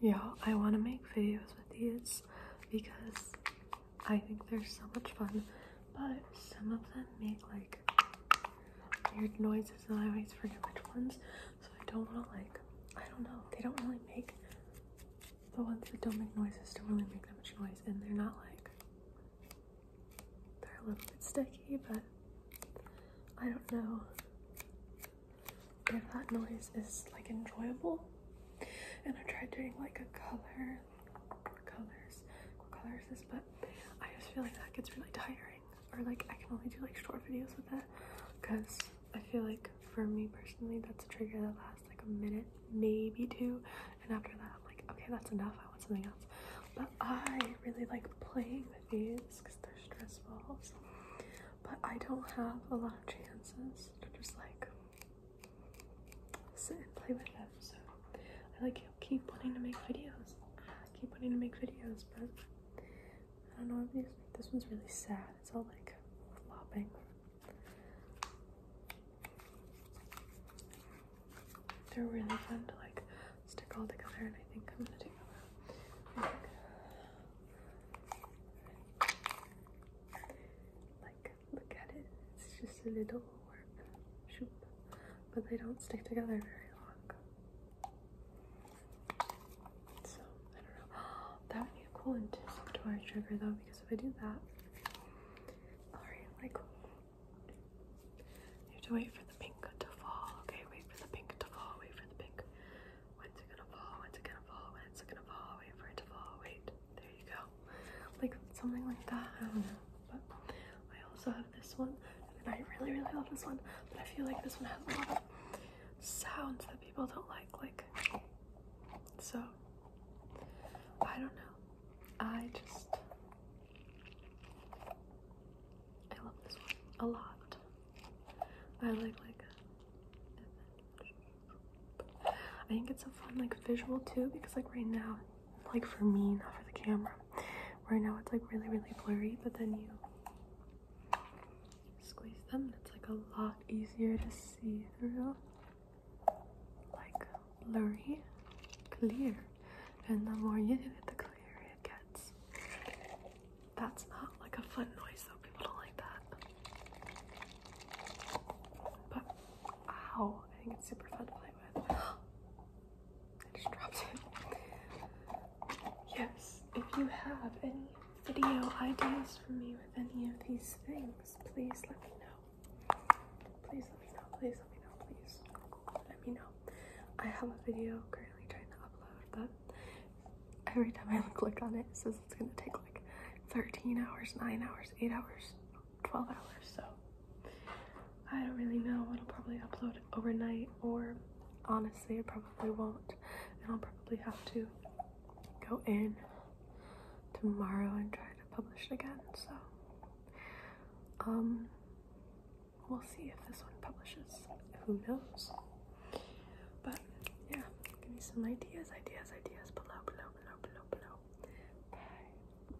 Yeah, I want to make videos with these because I think they're so much fun. But some of them make like weird noises and I always forget which ones. So I don't want to like, I don't know. They don't really make the ones that don't make noises don't really make that much noise. And they're not like, they're a little bit sticky, but I don't know if that noise is like enjoyable. And I tried doing like a color, colors, what color is this? But I just feel like that gets really tiring, or like I can only do like short videos with that because I feel like for me personally, that's a trigger that lasts like a minute, maybe two, and after that, I'm like, okay, that's enough. I want something else. But I really like playing because they're stress balls. But I don't have a lot of chances to just like sit and play with them. So I like keep wanting to make videos. keep wanting to make videos, but I don't know if these this one's really sad. It's all like flopping. They're really fun to like stick all together, and I think I'm gonna do I think, like look at it. It's just a little shoop, but they don't stick together very long. So I don't know. That would be a cool anticipatory trigger though, because if I do that, Alright, Michael. You have to wait for the pink to fall. Okay, wait for the pink to fall. Wait for the pink. When's it gonna fall? When's it gonna fall? When's it gonna fall? Wait for it to fall. Wait. There you go. Like something like that. I don't know. But I also have this one. And I really, really love this one. But I feel like this one has a lot of sounds that people don't like. Like so I don't know. I just I love this one a lot. I like like uh, I think it's a fun like visual too because like right now like for me not for the camera right now it's like really really blurry but then you squeeze them. It's like a lot easier to see through. Like blurry, clear. And the more you do it, the clearer it gets. That's not like a fun noise though, people don't like that. But ow, I think it's super fun to play with. I just dropped it. Yes, if you have any video ideas for me with any of these things, please let me know. Please let me know, please let me know, please let me know. I have a video currently trying to upload, but every time I click on it, it says it's gonna take like 13 hours, 9 hours, 8 hours, 12 hours, so I don't really know. I'll probably upload overnight, or honestly, I probably won't. And I'll probably have to go in tomorrow and try to publish it again. So, um, we'll see if this one publishes. Who knows? But yeah, give me some ideas, ideas, ideas below, below, below, below, below. Bye.